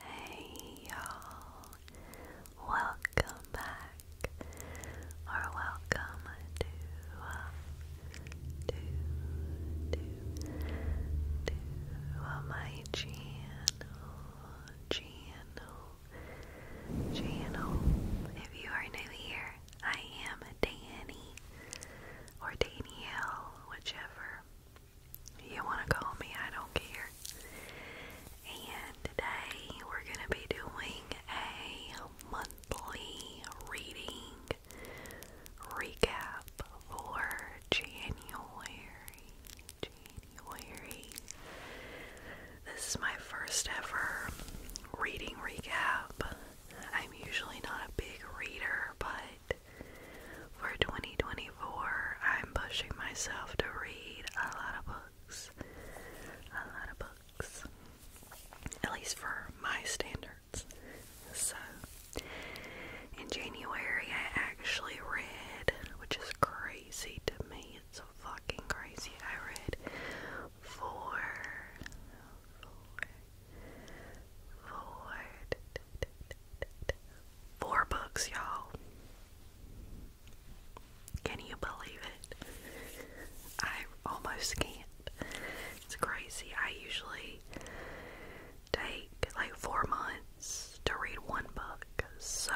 Hey y'all, welcome back or welcome to, uh, to, to, to uh, my channel, channel, channel. If you are new here, I am Danny or Danielle, whichever. You want to call me, I don't care. And today we're going to be doing a monthly reading recap for January. January. This is my first ever reading recap. I'm usually not a big reader, but for 2024, I'm pushing myself to read a lot of books. A lot of books. At least for my standards. So, in January, I actually read, which is crazy to me, it's fucking crazy. I read four, four, four, Four books, y'all. Can you believe it? I almost can't. It's crazy. I usually take like four months to read one book, so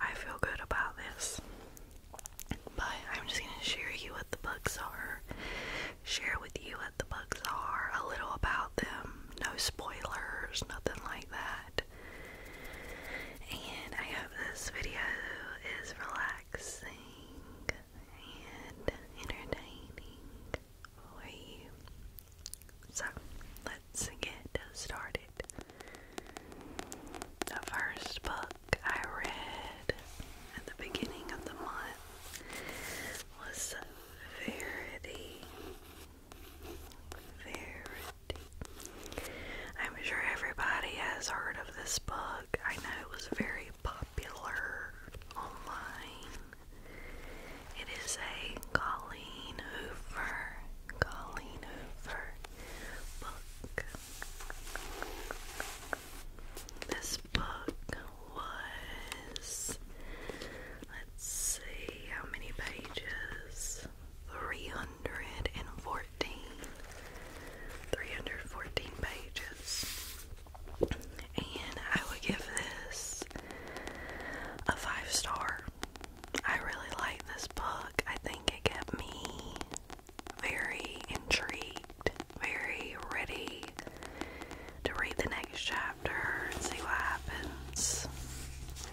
I feel good about this. But I'm just going to share you what the books are, share with you the books are, a little about them, no spoilers, nothing like that. And I hope this video is relaxing and entertaining for you. So let's get started. The first book I read at the beginning of the month was Verity. Verity. I'm sure everybody has heard of this book. I know it was very popular online. It is a Colleen Hoover, Colleen Hoover book. This book was, let's see, how many pages? 314. 314 pages. And I would give this a five star. I really like this book. I think it kept me very intrigued, very ready to read the next chapter and see what happens.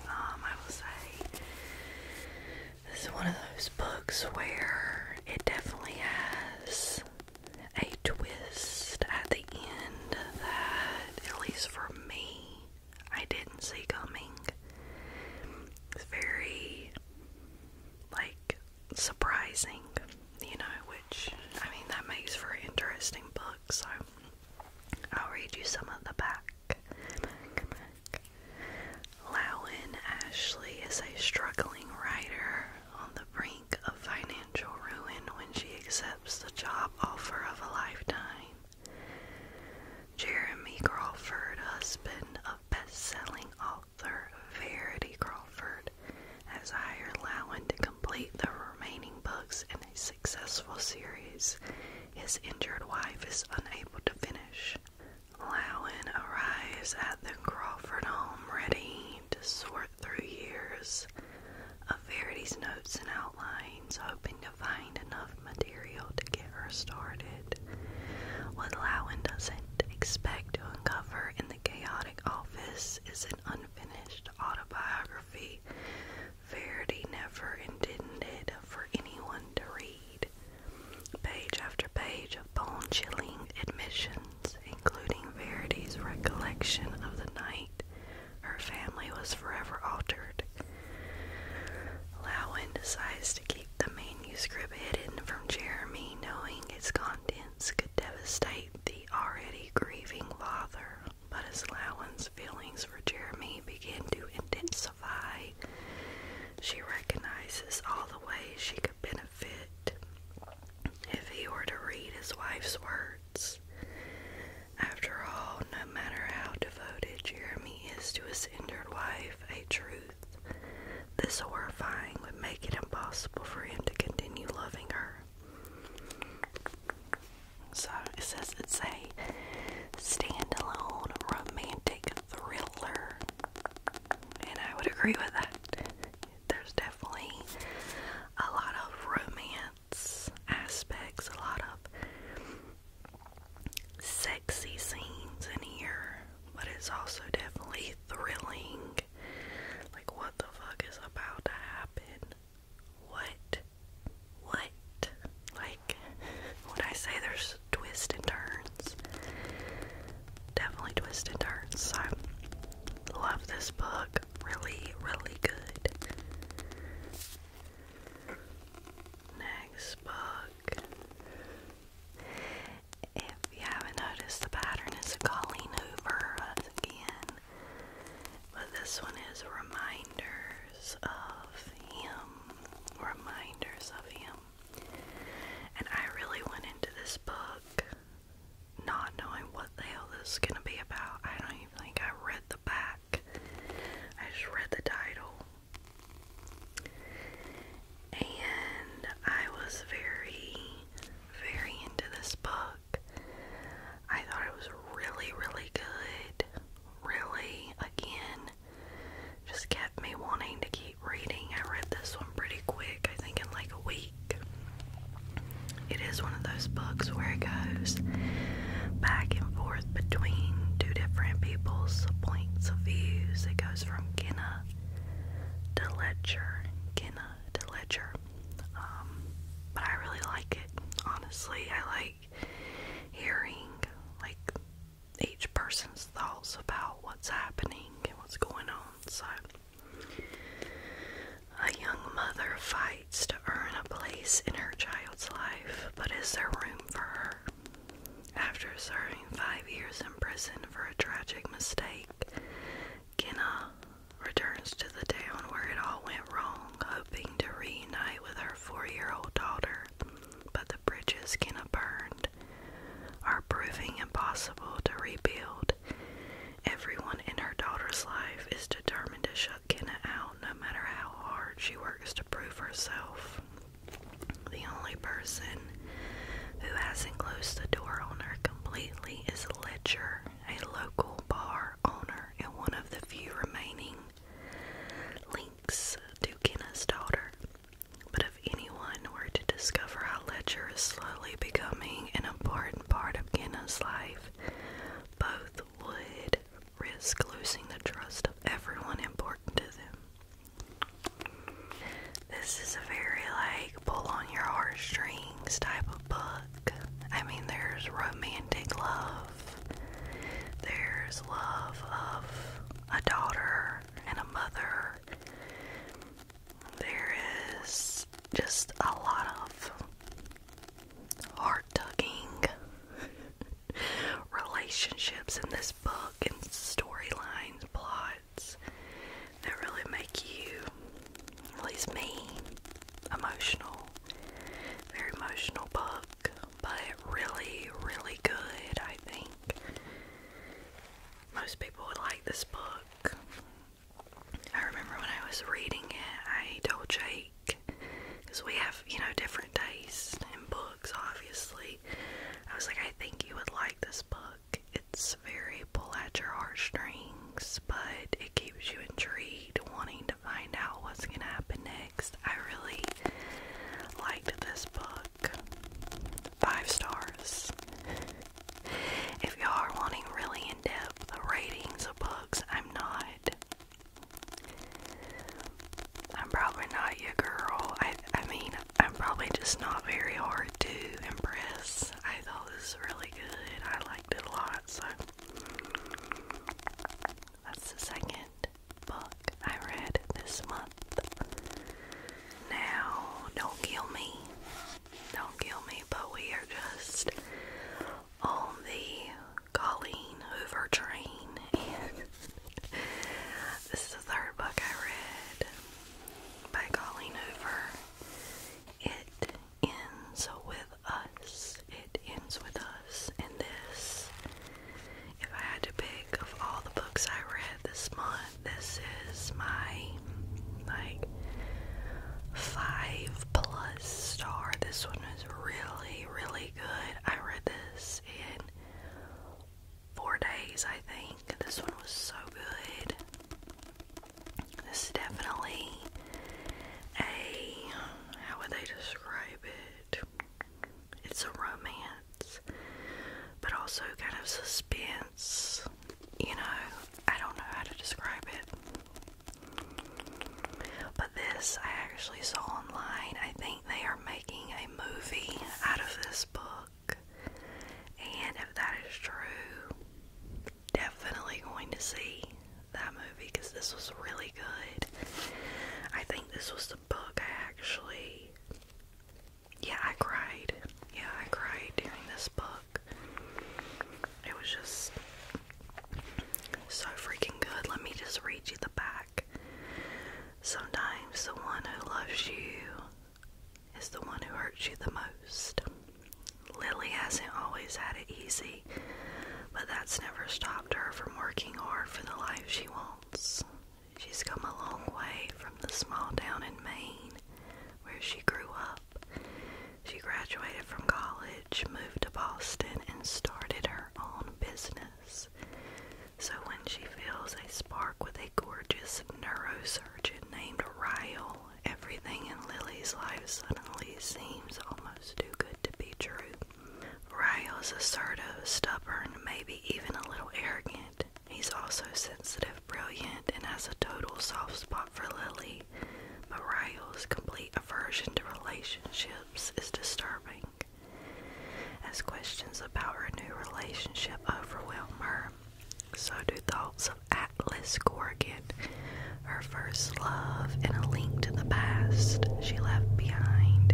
Um, I will say this is one of those books where it definitely has a twist at the end that, at least for me, I didn't see coming. It's very like surprising you know, which I mean, that makes for an interesting book, so I'll read you some at the back. back, back. Lowen Ashley is a struggling writer on the brink of financial ruin when she accepts the job offer of a lifetime. Jeremy Crawford, husband of best selling author Verity Crawford, Award, as Heyer allowing to complete the remaining books in a successful series his injured wife is unable to finish. Lowen arrives at the Crawford home ready to sort through years of Verity's notes and outlines, hoping to find enough material to get her started. What Lowen doesn't expect to uncover in the chaotic office is an un unfinished autobiography Verity never intended for anyone to read. Page after page of bone chilling admissions, including Verity's recollection of the night her family was forever altered. Lowen decides to keep the manuscript hidden from Jeremy, knowing its contents could devastate the already grieving father, but as Lowen's feelings for Jeremy begin to intensify. She recognizes all the ways she could benefit if he were to read his wife's words. After all, no matter how devoted Jeremy is to his injured wife, a truth this horrifying would make it impossible for him to continue loving her. So it says it's a standalone romantic thriller, and I would agree with that. There's definitely a lot of romance aspects, a lot of sexy scenes in here, but it's also definitely thrilling. Like, what what the fuck is about to happen. What? What? Like, when I say there's twists and turns, definitely twists and turns. I love this book. Really, really good. Next book if you haven't noticed, the pattern is calling over Hoover again. But this one is reminders of him. Reminders of him. And I really went into this book not knowing what the hell this is going to be about. I don't even think I read the back, I just read the title. And I was very very into this book. I thought it was really, really good. Really, again, just kept me wanting to keep reading. I read this one pretty quick, I think in like a week. It is one of those books where it goes back and forth between two different people's points of views. It goes from Kenna to Letcher, Kenna to Ledger. Um, but I really like it, honestly. I like hearing like each person's thoughts about what's happening and what's going on. So a young mother fights to earn a place in her child's life, but is there room for her? After serving five years in prison for a tragic mistake, Kenna returns to the town where it all went wrong, hoping to reunite with her four year old daughter. But the bridges Kenna burned are proving impossible to rebuild. Everyone in her daughter's life is determined to shut Kenna out no matter how hard she works to prove herself. The only person who has not closed the door on her completely is Ledger, a local bar owner and one of the few remaining links to Kenna's daughter. But if anyone were to discover how Ledger is slowly becoming an important part of Kenna's life, both would risk losing the trust of everyone important to them. This is a very like pull on your heartstrings type of book. I mean, there's romantic love, there's love of a daughter and a mother, there is just a lot of heart tugging relationships in this book and storylines, plot words that really make you, at least me, emotional. Very emotional book, but really, really good, I think. Most people would like this book. I remember when I was reading it, I told Jake, because we have, you know, different tastes in books, obviously. I was like, I think you would like this book. It's very pull at your heartstrings, but it keeps you intrigued, wanting to find out what's going to happen next. I really liked this book. Five stars. if y'all are wanting really in depth ratings of books, I'm not. I'm probably not your girl. I, I mean, I'm probably just not very hard to impress. I thought this was really good. I liked it a lot, so that's the second book I read this month. Now, don't kill me. Don't kill me, but we are just on the Colleen Hoover train and this is the third book I read by calling over. It ends with us. It ends with us. And this, if I had to pick of all the books I read this month, this is my like five plus star. This one was really, really good. I read this in four days, I think. This one was so good. This is definitely a how would they describe it? It's a romance, but also kind of suspense. You know, I don't know how to describe it. But this I actually saw online. I think they are making a movie out of this book. And if that is true, definitely going to see that movie because this was really good. I think this was the book I actually. Yeah, I cried. Yeah, I cried during this book. It was just so freaking good. Let me just read you the back. Sometimes the one who loves you is the one who hurts you the most. Lily hasn't always had it easy, but that's never stopped her from working hard for the life she wants. She's come a long way from the small town in Maine where she grew up. She graduated from college, moved to Boston, and started her own business. So when she feels a spark with a gorgeous neurosurgeon named Ryle, everything in Lily's life suddenly seems almost too good to be true. Ryle's assertive, stubborn, maybe even a little arrogant. He's also sensitive, brilliant, and has a total soft spot for Lily. But Ryle's complete aversion to relationships is disturbing. As questions about her new relationship overwhelm her, so do thoughts of Atlas Corrigan, her first love and a link to the past she left behind.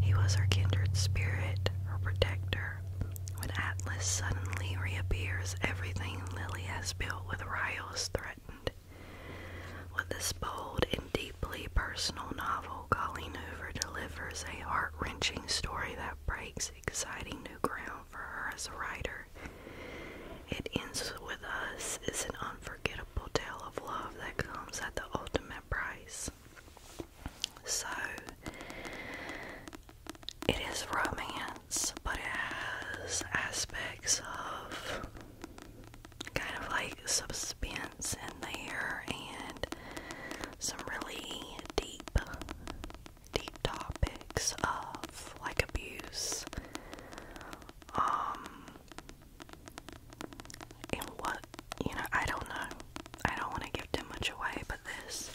He was her kindred spirit, her protector. When Atlas suddenly reappears, everything Lily has built with Ryle is threatened. With this bold and deep deeply personal novel, Colleen Hoover delivers a heart wrenching story that breaks exciting new ground for her as a writer. It Ends With Us is an unforgettable tale of love that comes at the ultimate price. So, it is romance, but it has aspects of kind of like suspense in there and some really deep, deep topics of like abuse. Um, and what, you know, I don't know. I don't want to give too much away, but this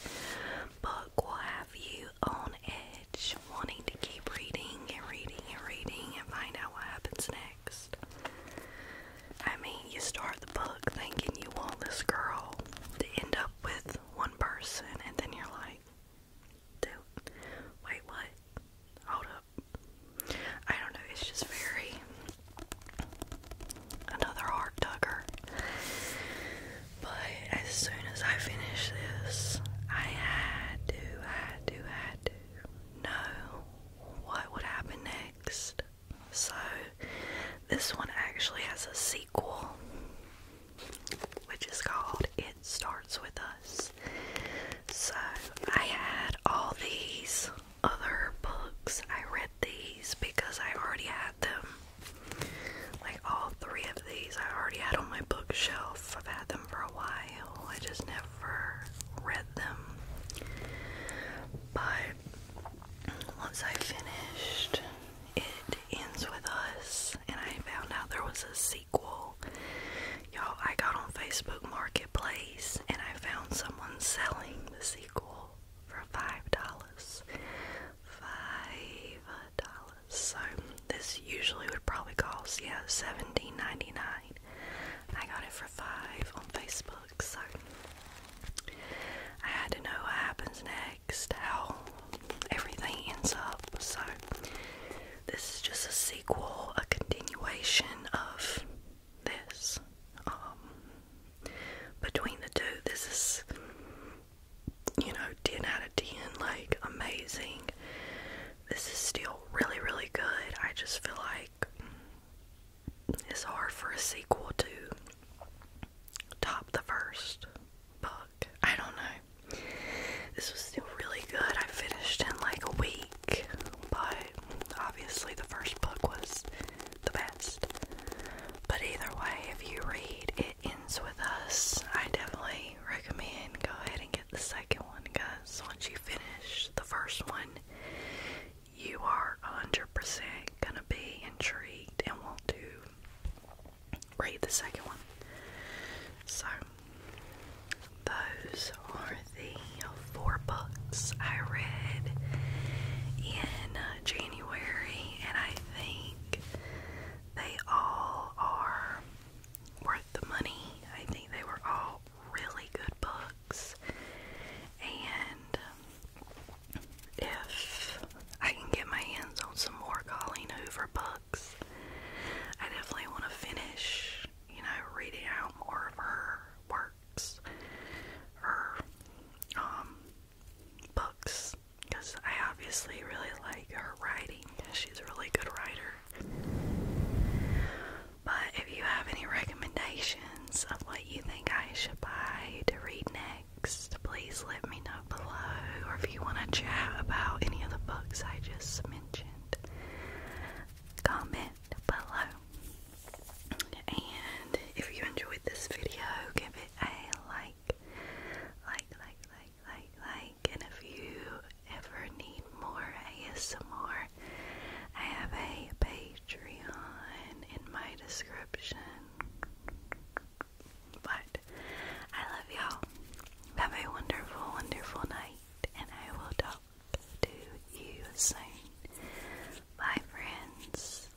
book will have you on edge, wanting to keep reading and reading and reading and find out what happens next. I mean, you start the book thinking you want this girl to end up with one person, and then you're like, dude, wait, what? Hold up. I don't know, it's just very. Another heart tugger. But as soon as I finish this, I had to, had to, had to know what would happen next. So, this one actually has a sequel, which is called It Starts With Us. So, I had all these other books. I read these because I already had them. Like, all three of these I already had on my bookshelf. I've had them for a while. I just never read them. But once I finished, it ends with us, and I found out there was a sequel. Y'all, I got on Facebook Marketplace and I found someone selling the sequel for five dollars. Five dollars. So this usually would probably cost yeah seventeen ninety nine. I got it for five on Facebook. So I had to know what happens next, how everything ends up. So this is just a sequel, a continuation of this. Um, between the two, this is you know 10 out of 10, like amazing. This is still really, really good. I just feel like it's hard for a sequel to top the first book. I don't know. This was still really good. I finished in like a week, but obviously the first book was the best. But either way, if you read It Ends With Us, I definitely recommend go ahead and get the second one, Cause Once you finish the first one, you are 100% going to be intrigued and want to read the second one. So, those are the four books I read in uh, January, and I think they all are worth the money. I think they were all really good books. And um, if I can get my hands on some more Colleen Hoover books, I definitely want to finish, you know, reading out more of her works, her um, books, because I obviously really like her writing. She's a really good writer. But if you have any recommendations of what you think I should buy to read next, please let me know below. Or if you want to chat about any of the books I just mentioned, comment below. And if you enjoyed this video, give it a like. Like, like, like, like, like. And if you ever need more ASMR I have a Patreon in my description. But I love y'all. Have a wonderful, wonderful night, and I will talk to you soon. Bye, friends.